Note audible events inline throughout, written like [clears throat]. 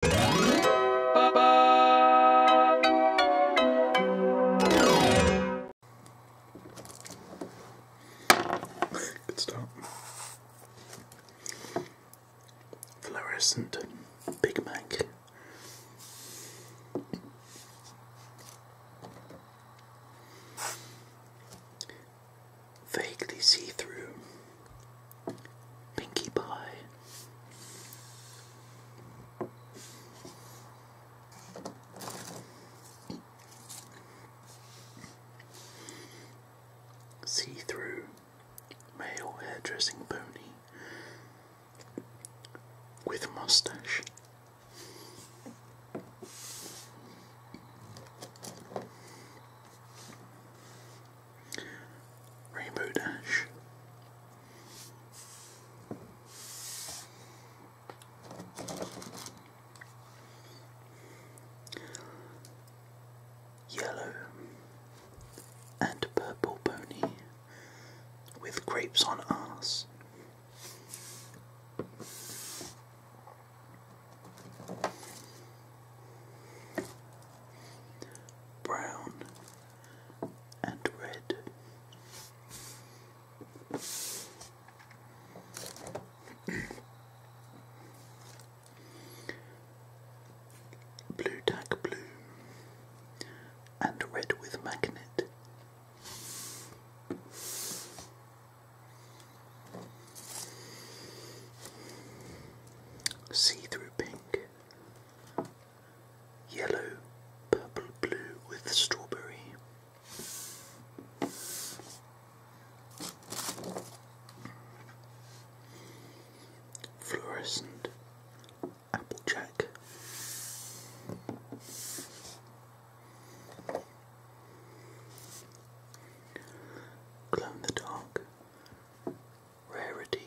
Good start. Fluorescent Big Mac. Vaguely see through. Pinkie Pie. See through male hairdressing pony with mustache. Rainbow Dash. Yellow and purple pony with grapes on ass brown and red. [clears throat] blue tack blue and red with magnet. See through pink, yellow, purple, blue with strawberry. Fluorescent Applejack Glow in the Dark Rarity.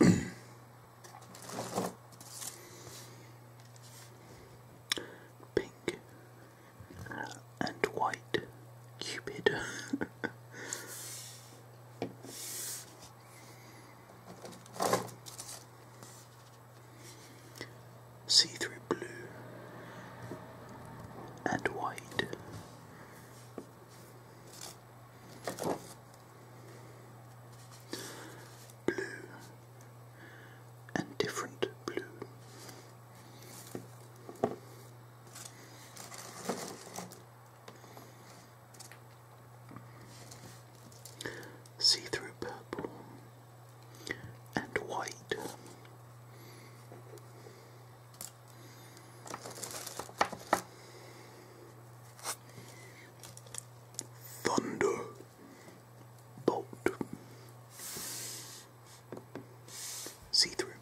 [clears throat] Pink uh, and white Cupid. [laughs] see through blue and white. Blue and different blue. See through purple and white. Thunder bolt. See through.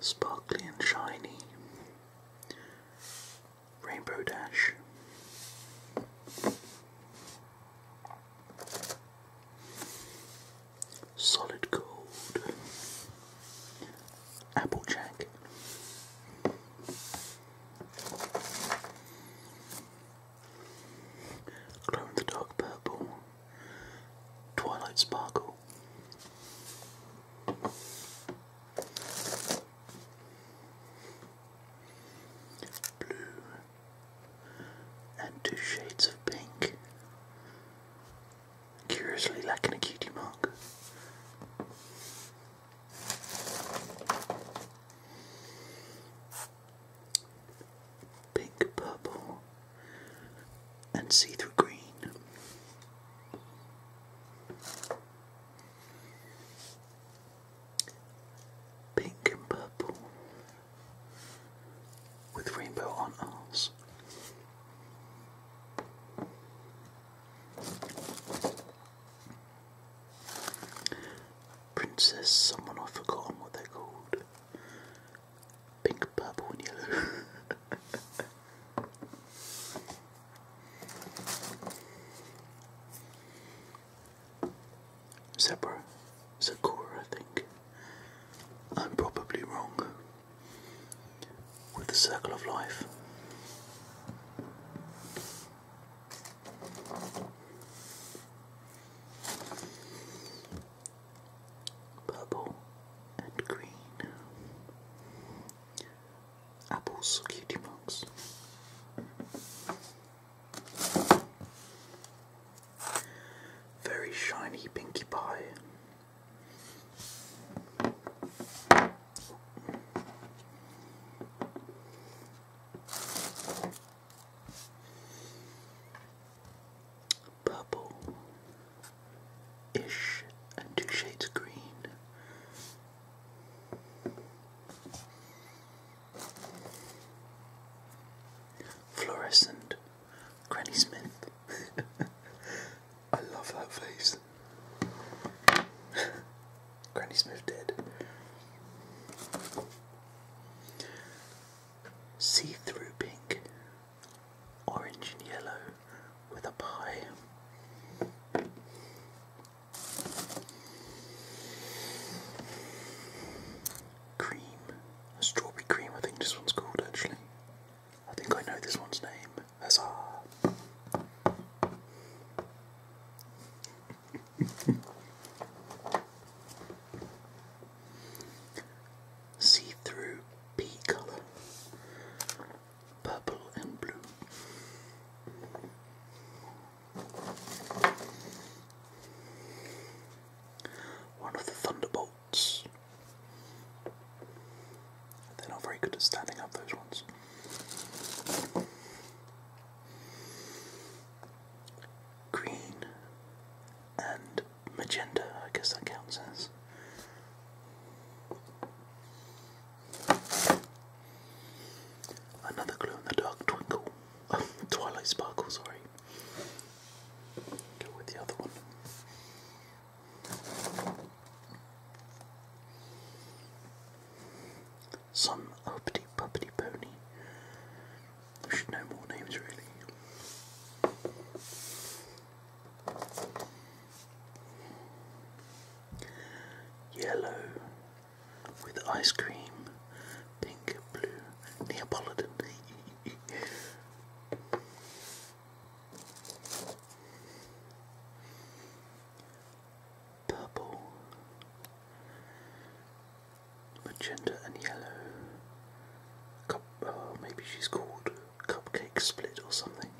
Sparkly and shiny. Rainbow Dash. Solid Gold. Applejack. Glow the Dark Purple. Twilight Sparkle blue, and two shades of pink, curiously lacking a cutie mark. Pink, purple, and see through green. Pink and purple with rainbow on ours. Princess, someone I've what they're called. Pink, purple, and yellow. [laughs] Zebra, Sakura, I think. I'm probably wrong with the circle of life. Purple and green apples, cutie marks. Very shiny Pinkie Pie. Purple ish and two shades of green Fluorescent Granny Smith. [laughs] I love that face. [laughs] Granny Smith dead. See through pink, orange and yellow with a pie. Cream. strawberry cream, I think this one's called actually. I think I know this one's name. Huzzah! [laughs] See through pea colour purple and blue. One of the Thunderbolts. They're not very good at standing up, those ones. Green and magenta, I guess that counts as. Another glow in the dark twinkle. [laughs] Twilight Sparkle, sorry. Go with the other one. Some uppity puppity pony. should know more names really. Yellow with ice cream, pink, and blue, Neapolitan. [laughs] Purple, magenta, and yellow. Oh, maybe she's called cupcake split or something.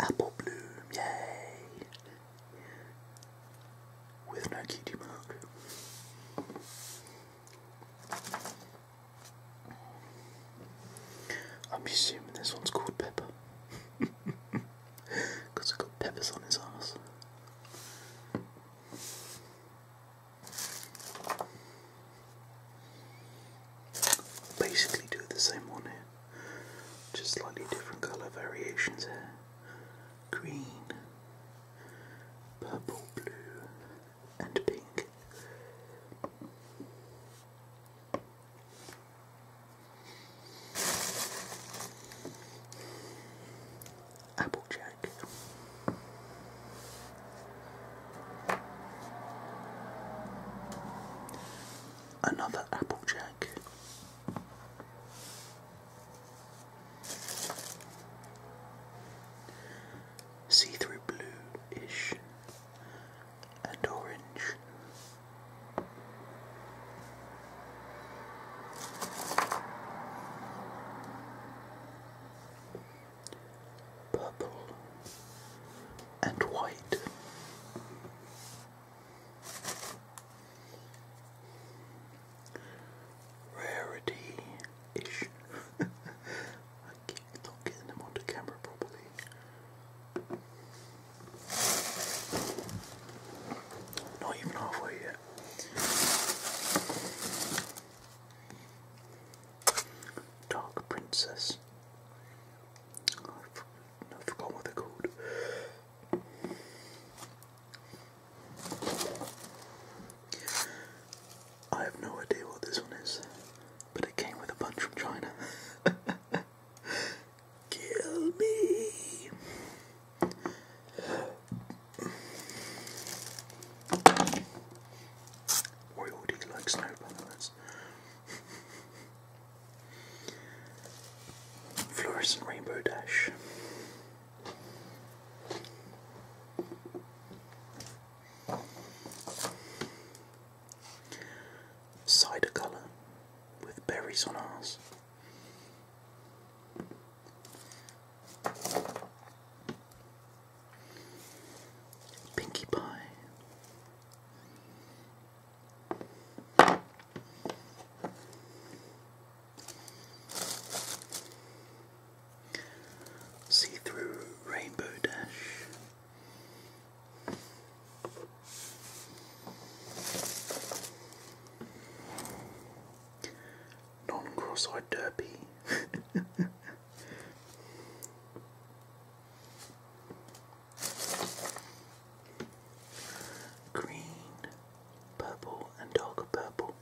Apple bloom, yay! With no cutie mark. I'm assuming this one's called Pepper. Because [laughs] it's got peppers on his ass. Basically, do the same one here, just slightly different colour variations here green, purple, blue, and pink. Applejack. Another Applejack. See through blue ish and orange purple and white. Rarity ish. [laughs] I keep not getting them onto camera properly. Not even halfway yet. Dark Princess. Oh, I forgot what they're called. I have no idea what this one is, but it came with a bunch from China. [laughs] Kill me! Royalty like snow balance. Fluorescent rainbow dash. Cider colour with berries on ours. Pinkie Pie. See through Rainbow Dash. Non-cross-eyed derpy. [laughs] Green, purple, and darker purple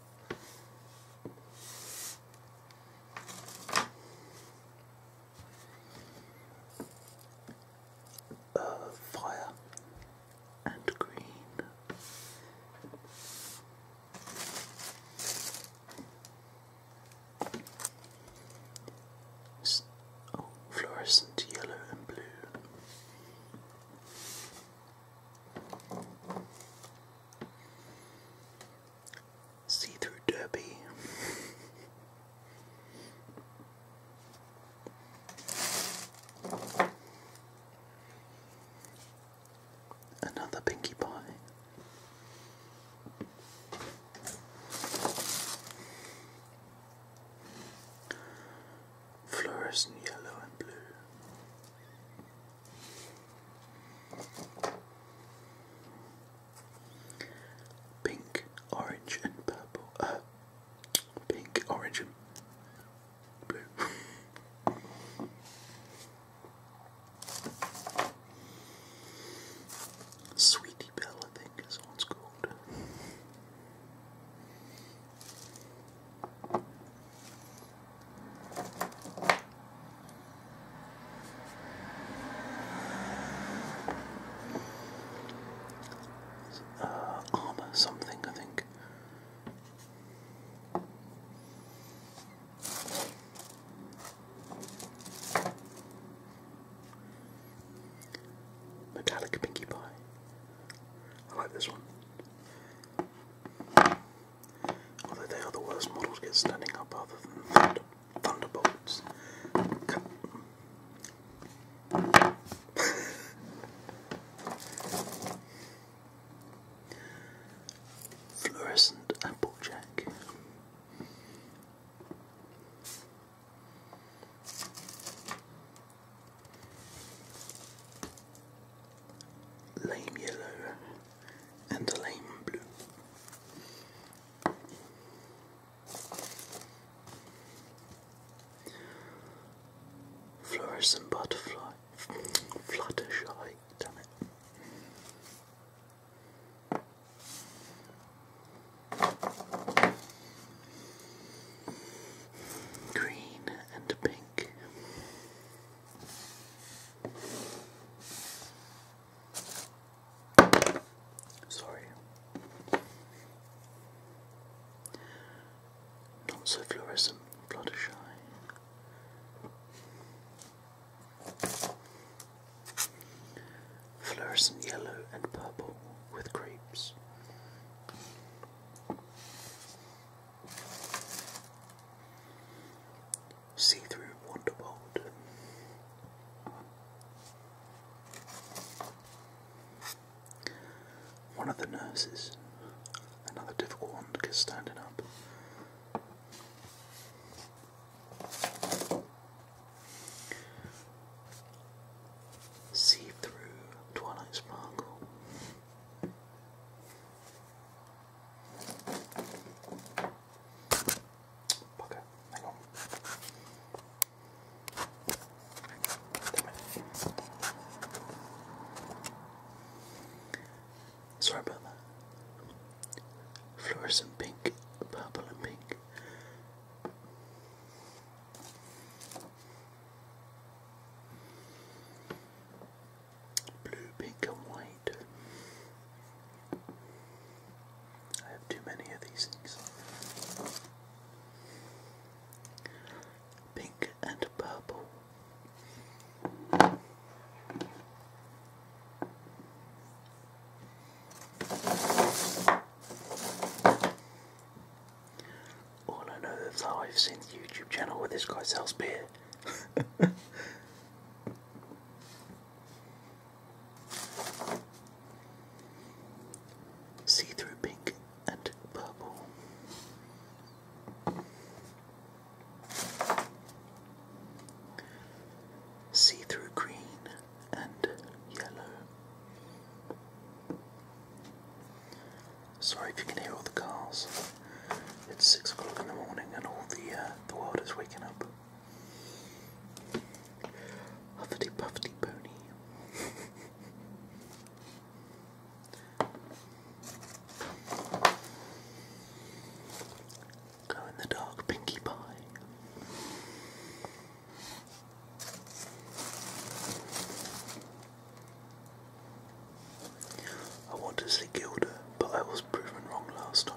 uh, fire and green. oh, fluorescent yellow and blue. See through derby. [laughs] Another Pinkie Pie. Fluorescent yellow and blue. Pink, orange, and purple. Uh, pink, orange, blue. Sweetie Belle, I think, is what called. Uh, armor something, I think. Metallic Pinkie Pie. I like this one. Although they are the worst models get standing up other than Thunderbolts. Fluorescent Applejack. Lame yellow and a lame blue. Fluorescent butterfly, fluttershy, damn it. Green and pink. Sorry. Not so fluorescent, Fluttershy. Fluorescent yellow and purple with grapes. See through Wonderbold. One of the nurses. Another difficult one because standing up. See through Twilight Sparkle. Bugger, hang on. Sorry about that. Fluorescent pink, purple and pink. Blue, pink and white. I have too many of these things. Pink and purple. All I know is how I've seen the YouTube channel where this guy sells beer. [laughs] See through pink and purple. See through green and yellow. Sorry if you can hear all the cars. It's six o'clock in the morning and all the uh, the world is waking up. Huffity puffity pony. Go in the dark, Pinkie Pie. I want to see Gilda, but I was proven wrong last time.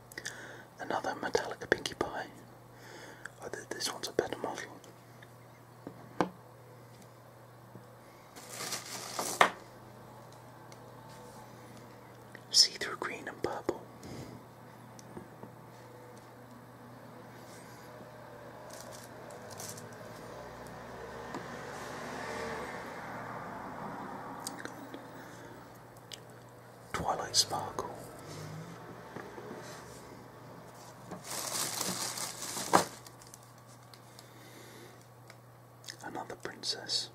Another Metallica Pinky Pie. Oh, this one's a better model. See through green and purple. Twilight Sparkle. Another princess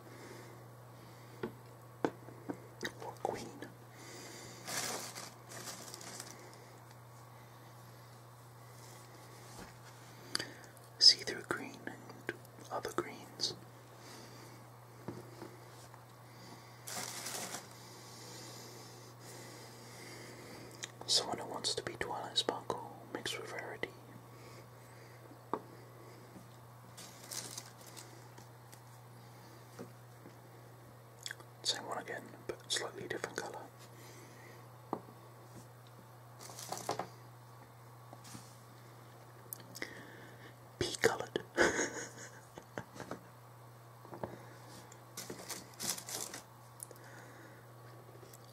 or queen. See through green and other greens. Someone who wants to be Twilight Sparkle mixed with Rarity. Same one again, but slightly different colour. Be coloured. [laughs]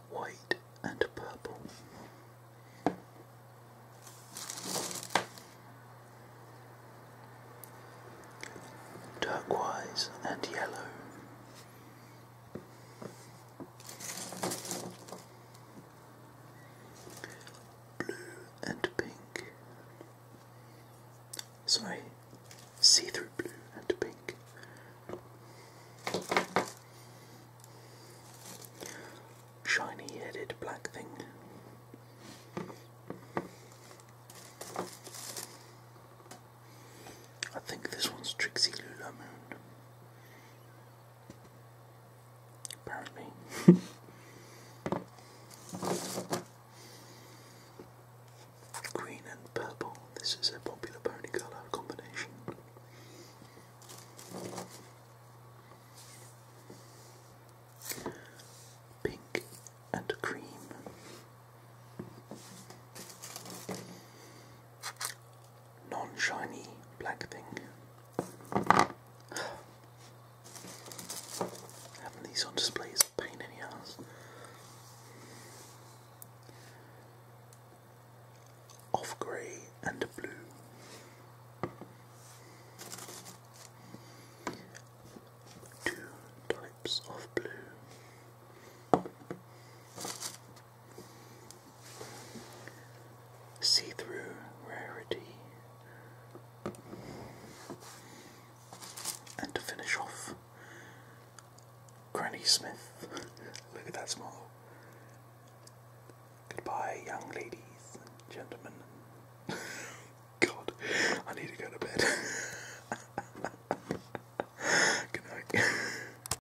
White and purple. Turquoise and yellow blue and pink. Sorry, see through blue and pink. Shiny headed black thing. I think this one's Trixie Lula Moon. Apparently. [laughs] Green and purple. This is a popular pony colour combination. Pink and cream non-shiny black thing. Having these on display is a pain in the ass. Off grey and blue. Two types of blue. See through rarity. And to finish off, Granny Smith. Look at that smile. Goodbye, young ladies gentlemen. [laughs] God, I need to go to bed. [laughs] Good night. [laughs]